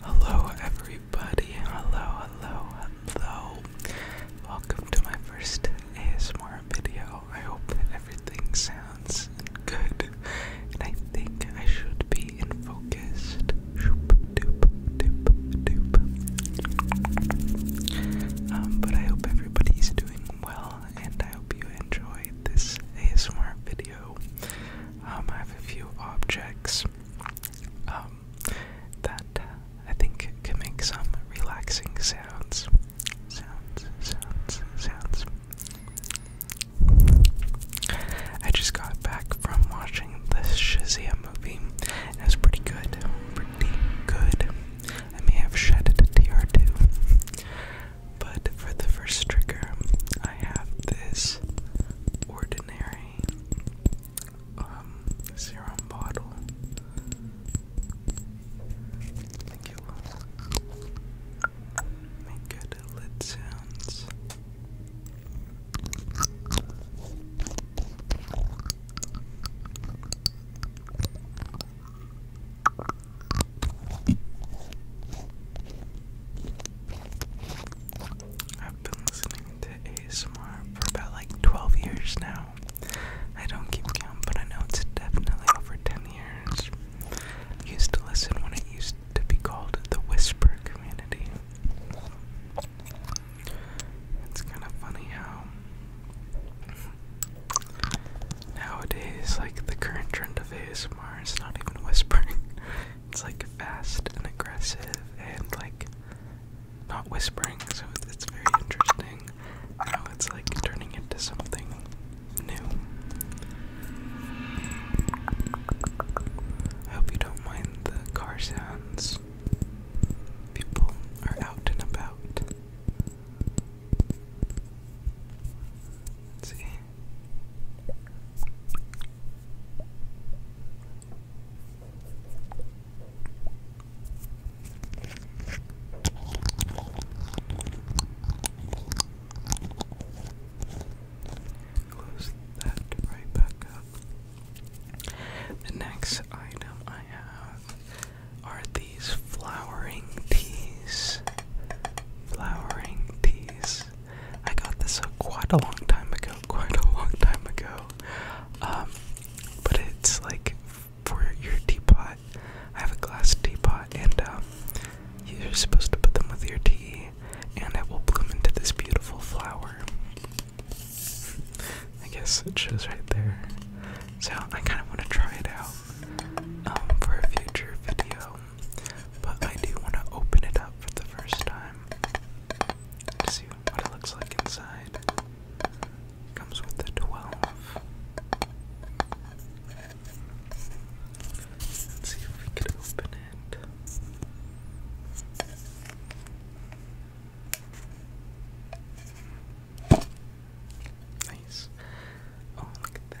Hello, everybody. Hello, hello, hello. Welcome to my first ASMR video. I hope that everything sounds good, and I think I should be in focus. Um, but I hope everybody's doing well, and I hope you enjoy this ASMR video. Um, I have a few objects um, that uh, I think can make some relaxing sounds. Sounds, sounds, sounds. I just got back from watching the Shazam movie. it was pretty good. Pretty good. I may have shed a tear or two. But for the first trigger, I have this ordinary um, serum bottle. I think it will make good lid sounds. I've been listening to ASMR for about like 12 years now. I don't keep count, but I know it's definitely over 10 years. used to listen when it used to be called the Whisper Community. It's kind of funny how nowadays, like the current trend of ASMR is not even whispering. It's like fast and aggressive and like not whispering, so it's very interesting Now it's like turning into something new. I hope you don't mind the car sounds. People are out and about. see. Close that right back up. The next item I have are these flowering teas. Flowering teas. I got this uh, quite a long time ago, quite a long time ago. Um, but it's like for your teapot. I have a glass teapot, and um, you're supposed to put them with your tea, and it will bloom into this beautiful flower. I guess it shows right there. So I kind of want to try it out um, for a future video but I do want to open it up for the first time to see what it looks like inside. Comes with the 12. Let's see if we can open it. Nice. Oh, look at that.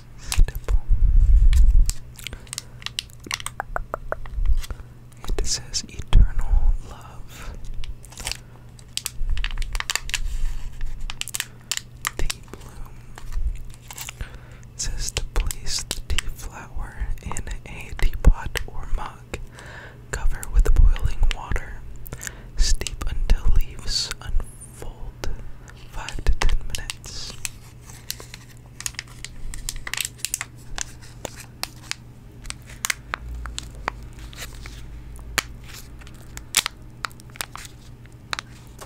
it says eternal love. The bloom. says to place the tea flower in a teapot or mug. Cover with boiling water. Steep until leaves unfold. Five to ten minutes.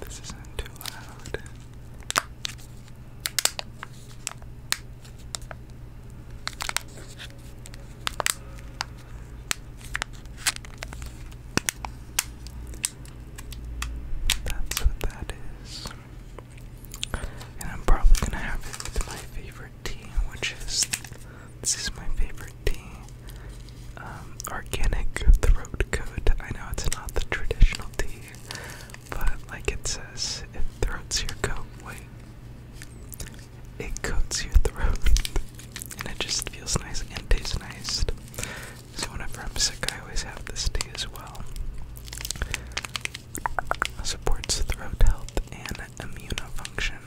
This isn't too loud. That's what that is. And I'm probably gonna have it with my favorite tea, which is this is my favorite tea. Um, organic throat coat. I know it's not the traditional tea, but like it says, it throats your coat. Wait, it coats your throat, and it just feels nice and tastes nice. So whenever I'm sick, I always have this tea as well. Supports throat health and immune function.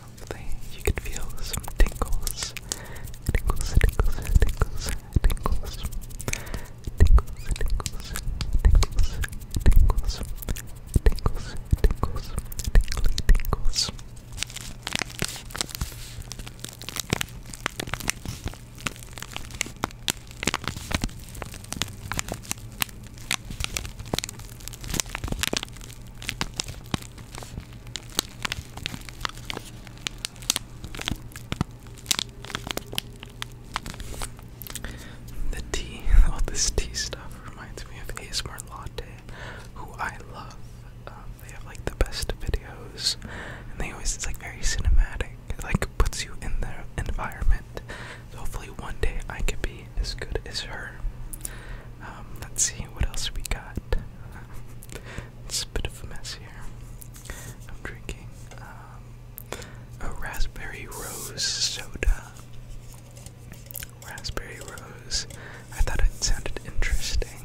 Hopefully, you can feel some tingles. Tingles, tingles, tingles, tingles. Tingles, tingles, tingles, tingles. Tingles, tingles, tingly tingles. The tea, all this tea stuff reminds me of ASMR Latte, who I love. Um, um, they have like the best videos, and they always it's like very cinematic. It like puts you in their environment. hopefully one day I could be as good as her. Um, let's see what else we got. it's a bit of a mess here. I'm drinking um, a raspberry rose soda. Raspberry rose. I thought it sounded interesting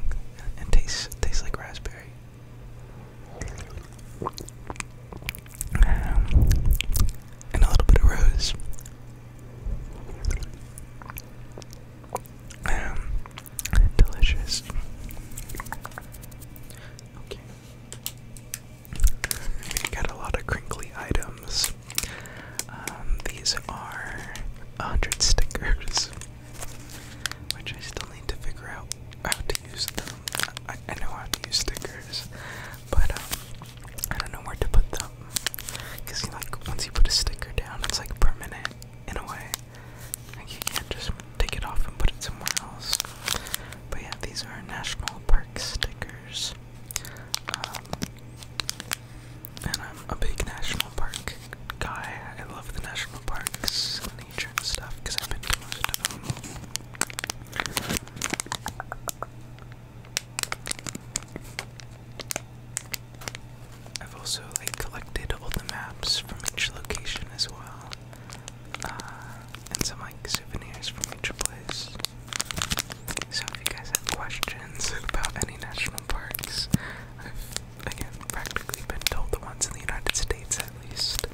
and tastes tastes like raspberry and a little bit of rose. Um, delicious. Okay. We got a lot of crinkly items. Um, these are 100 stickers. Which I still need to figure out how to use them. I, know how to use stickers, but um, I don't know where to put them. Cause like once you put a sticker down, it's like permanent in a way. Like you can't just take it off and put it somewhere else. But yeah, these are national park stickers. Um, and I'm a big national park guy. I love the national parks, nature stuff, because I've been to most of them. I've also like collected all the maps from each location as well, uh, and some like souvenirs from each place. So if you guys have questions about any national parks, again, practically been told the ones in the United States at least.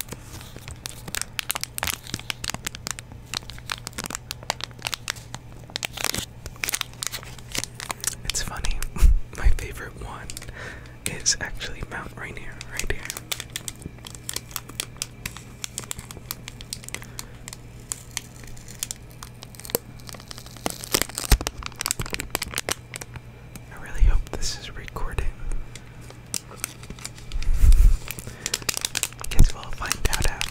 It's funny, my favorite one is actually Mount Rainier, right here. I really hope this is recording. Guess we'll find out after.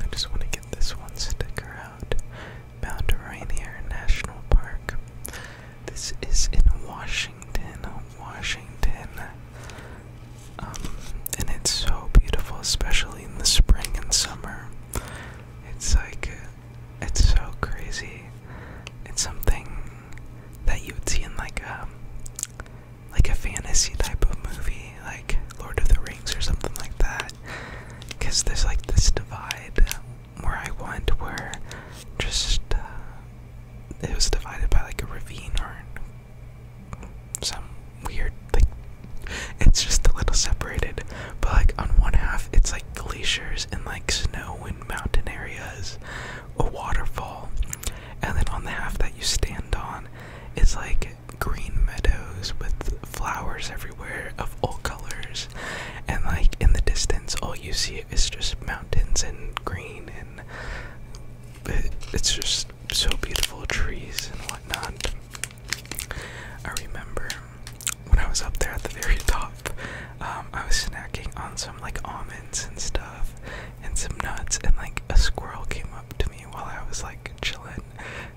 I just want to get this one sticker out. Mount Rainier National Park. This is in Washington, Washington. Um, and it's so beautiful, especially in the spring and summer. It's like, it's so crazy. It's something that you would see in like a, like a fantasy type of movie, like Lord of the Rings or something like that. Because there's like this divide where I went where just uh, it was divided by like a ravine or some weird like it's just a little separated but like on one half it's like glaciers and like snow and mountain areas a waterfall and then on the half that you stand on it's like green meadows with flowers everywhere of all colors, and like in the distance, all you see is just mountains and green, and it's just so beautiful trees and whatnot. I remember when I was up there at the very top, um, I was snacking on some like almonds and stuff and some nuts, and like a squirrel came up to me while I was like chilling,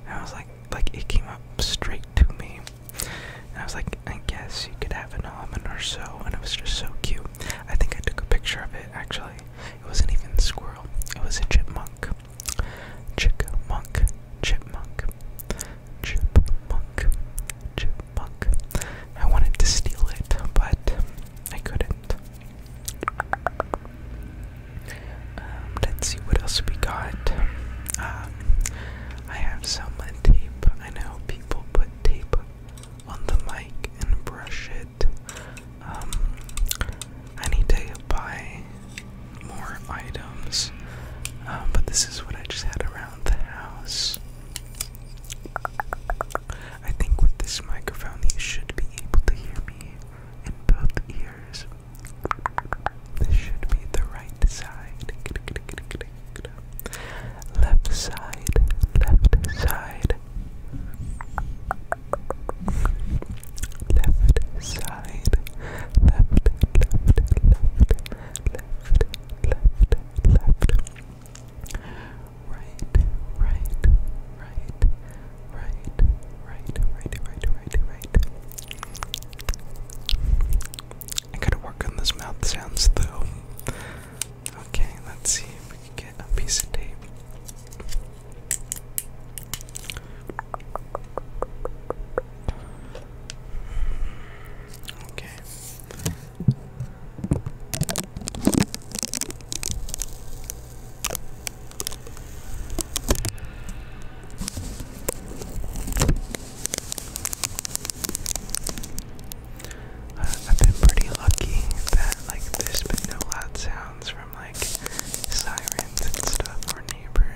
I was like, like it came up straight to me. And I was like, I guess you could have an almond or so. And it was just so cute. I think I took a picture of it actually. It wasn't even a squirrel, it was a chipmunk. Chickmunk, chipmunk, chipmunk, chipmunk. I wanted to steal it, but I couldn't. Um, let's see what else we got. Um, I have some I know people put tape on the mic and brush it. Um, I need to buy more items, but this is what I just had around the house. I think with this microphone, you should be able to hear me in both ears. This should be the right side. Left side, left side. Left side, left, left, left, left, left, left. Right, right, right, right, right, right, right, right, right. I gotta work on this mouth sounds though. Okay, let's see if we can get a piece of tape. Okay. I've been pretty lucky that like there's been no loud sounds from like sirens and stuff or neighbors.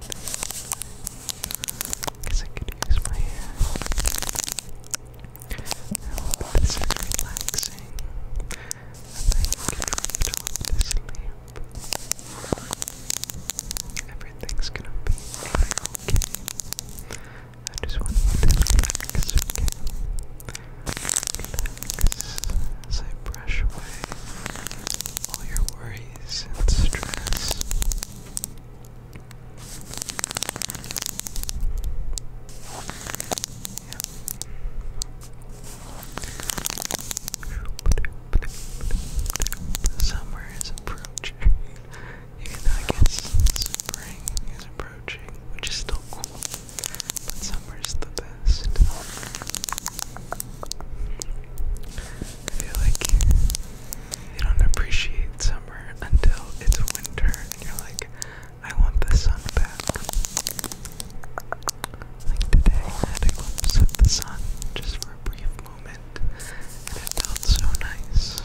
Guess I could use my hair. this is relaxing. I think it dropped to sleep. Everything's gonna be okay. I just want you to relax, okay? Relax I brush away all your worries and stress. Summer is approaching, even I guess spring is approaching, which is still cool, but summer is the best. I feel like you don't appreciate summer until it's winter and you're like, I want the sun back. Like today, I had a glimpse of the sun just for a brief moment, and it felt so nice.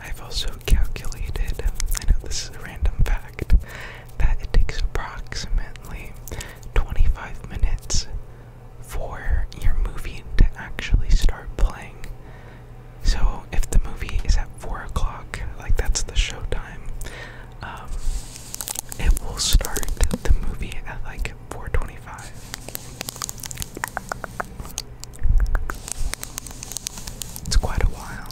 I've also calculated, I know this is a random fact, that it takes approximately 25 minutes for your movie to actually start playing. So if the movie is at 4 o'clock, like that's the showtime, um, it will start the movie at like 425. It's quite a while.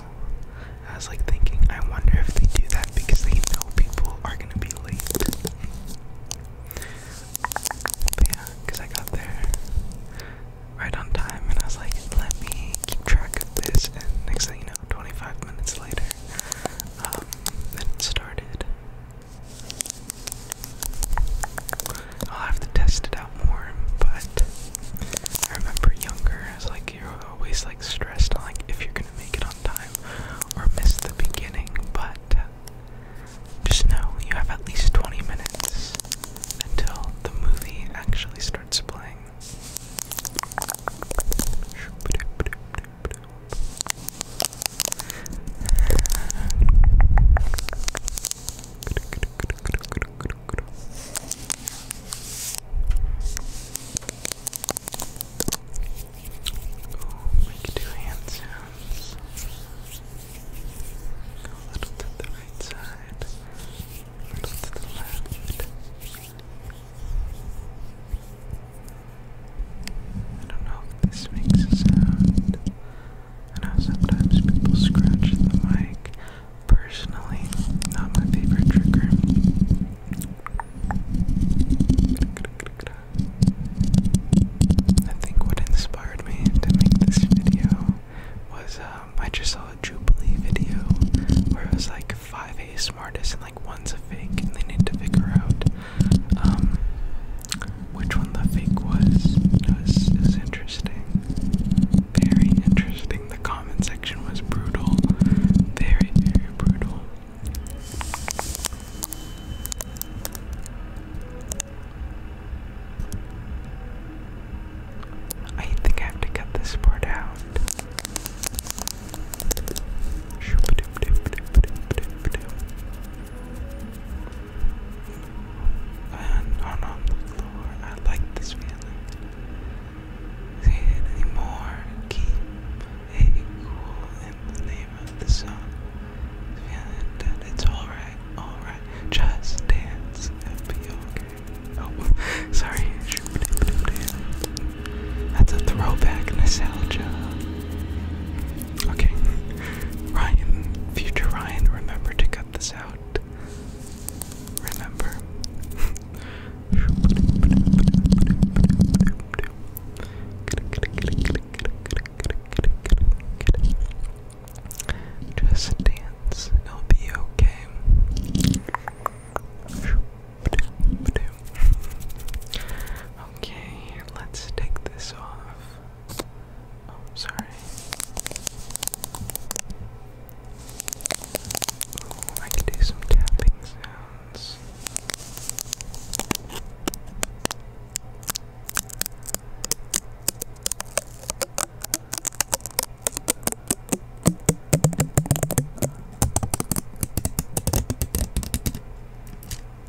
I was like thinking, I wonder if they do that because they know people are gonna be late. yeah, because I got there right on time and I was like, let me keep track of this. And next thing you know, 25 minutes later, um, it started. I'll have to test it out more, but I remember younger, I was like, you're always like stressed on like if you're gonna make it on time or miss the beginning, but uh, just know you have at least 20 minutes until the movie actually starts playing. Ooh, we can do hand sounds. Go a little to the right side, a little to the left. I don't know if this makes a sound. I I know sometimes people scratch the mic. Personally, not my favorite trigger. I think what inspired me to make this video was um, I just saw a Jubilee video where it was like five A smartest and like one's a fake and they need to figure out um, which one the fake was. It was, it was interesting. Very interesting. The comment section was brutal. Very, very brutal. I think I have to cut this part out and on, oh on the floor. I like this feeling. See it anymore. Keep it cool in the name of the sun. Feeling that it's alright, alright. Just dance. it be okay. Oh, sorry. That's a throwback nostalgia. Okay. Ryan, future Ryan, remember to go this out. Remember. Just dance, it'll be okay. Okay, let's take this off. Oh, sorry. I can do some tapping sounds.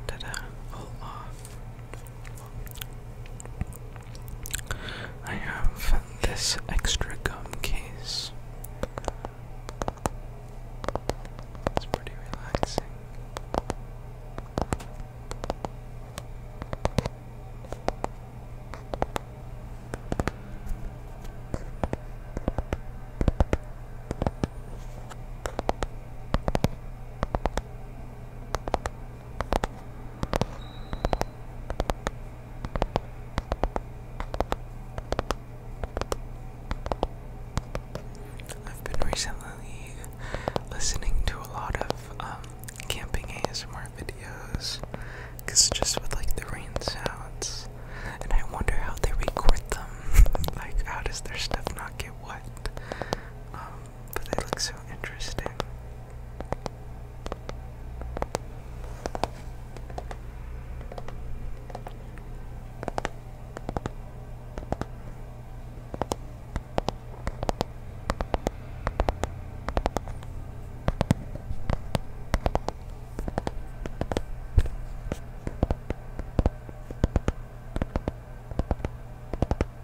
Ta-da! I have this extra gum case. It's pretty relaxing. I've been recently listening to a lot of um, camping ASMR videos because just with like the rain sounds, and I wonder how they record them. like, how does their stuff not get wet? Um, but they look so interesting.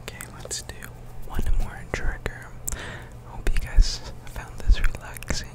Okay, let's do one more trigger. Hope you guys found this relaxing.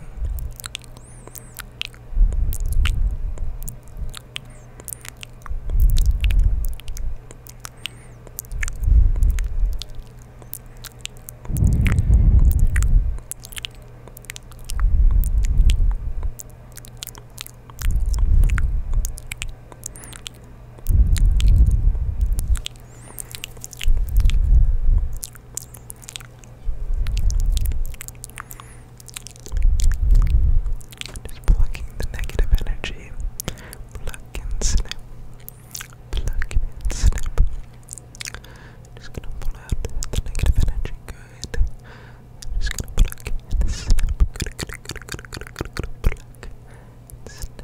Just plucking the negative energy pluck and snip, pluck and snip. Just gonna pull out the negative energy, good. Just gonna pluck and snip, good, good, good, good, good, good, good, pluck and snip.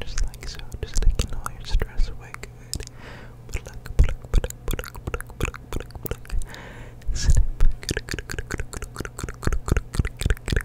Just like so, just taking all your stress away, good. Pluck, pluck, pluck, pluck, pluck, pluck, pluck, pluck, snip. Good, good, good, good, good, good, good, good, good, good, good, good,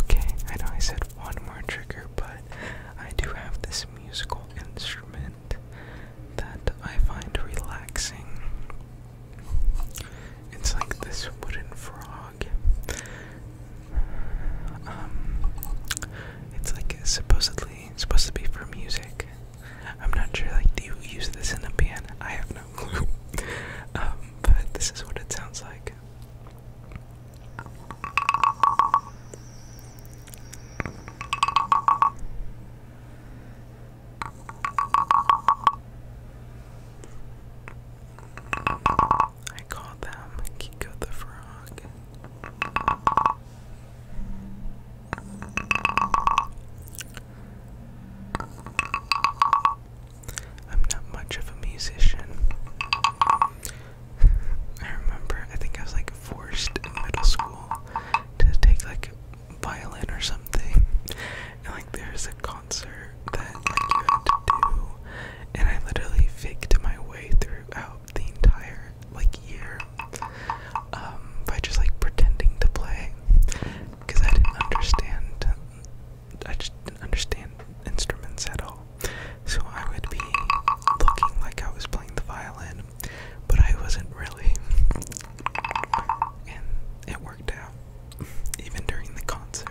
Okay, I know I said one more trigger, but I do have this musical instrument that I find relaxing. It's like this wooden frog. Um, it's like supposedly supposed to be for music. I'm not sure. Like, do you use this in a band? I have no clue. um, but this is what it sounds like. I call them Kiko the Frog. I'm not much of a musician. I remember, I think I was like forced in middle school to take like violin or something. And like there's a concert that like you had to do, and I literally faked my way throughout the entire like year um, by just like pretending to play because I didn't understand I just didn't understand instruments at all. So I would be looking like I was playing the violin, but I wasn't really. And it worked out, even during the concert.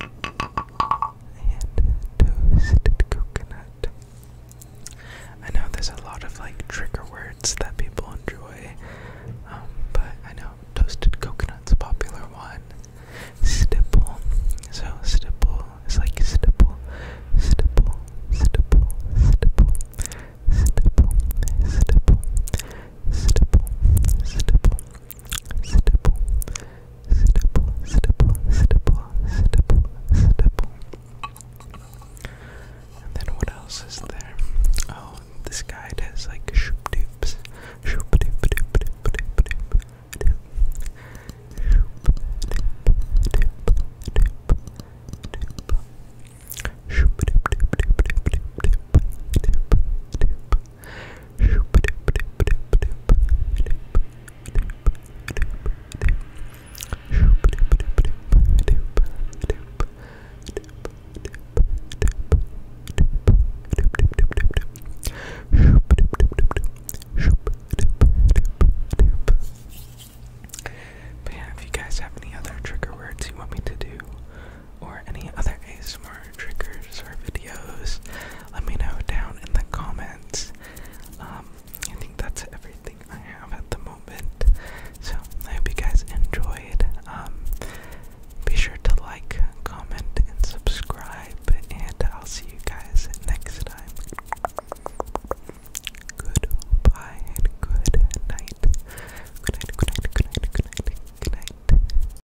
and toasted coconut. I know there's a lot of like trigger words that people enjoy, um, but I know toasted coconut's a popular one. Stipple, so stipple is like stipple, stipple, stipple, stipple, stipple, stipple, stipple, stipple, stipple, stipple, stipple, stipple, stipple, stipple, stipple. And then what else is there? Oh, this guide has like shoop doops, shoop doop doop doop doop doop doop, shoop doop doop doop doop, shoop doop doop doop doop doop doop doop. But yeah, if you guys have any other trigger words you want me to do, or any other ASMR triggers or videos, let me know down in the comments. Um, I think that's everything I have at the moment. So I hope you guys enjoyed. Um, be sure to like, comment, and subscribe, and I'll see you guys next time. Goodbye and good night. Good night, good night, good night, good night, good night.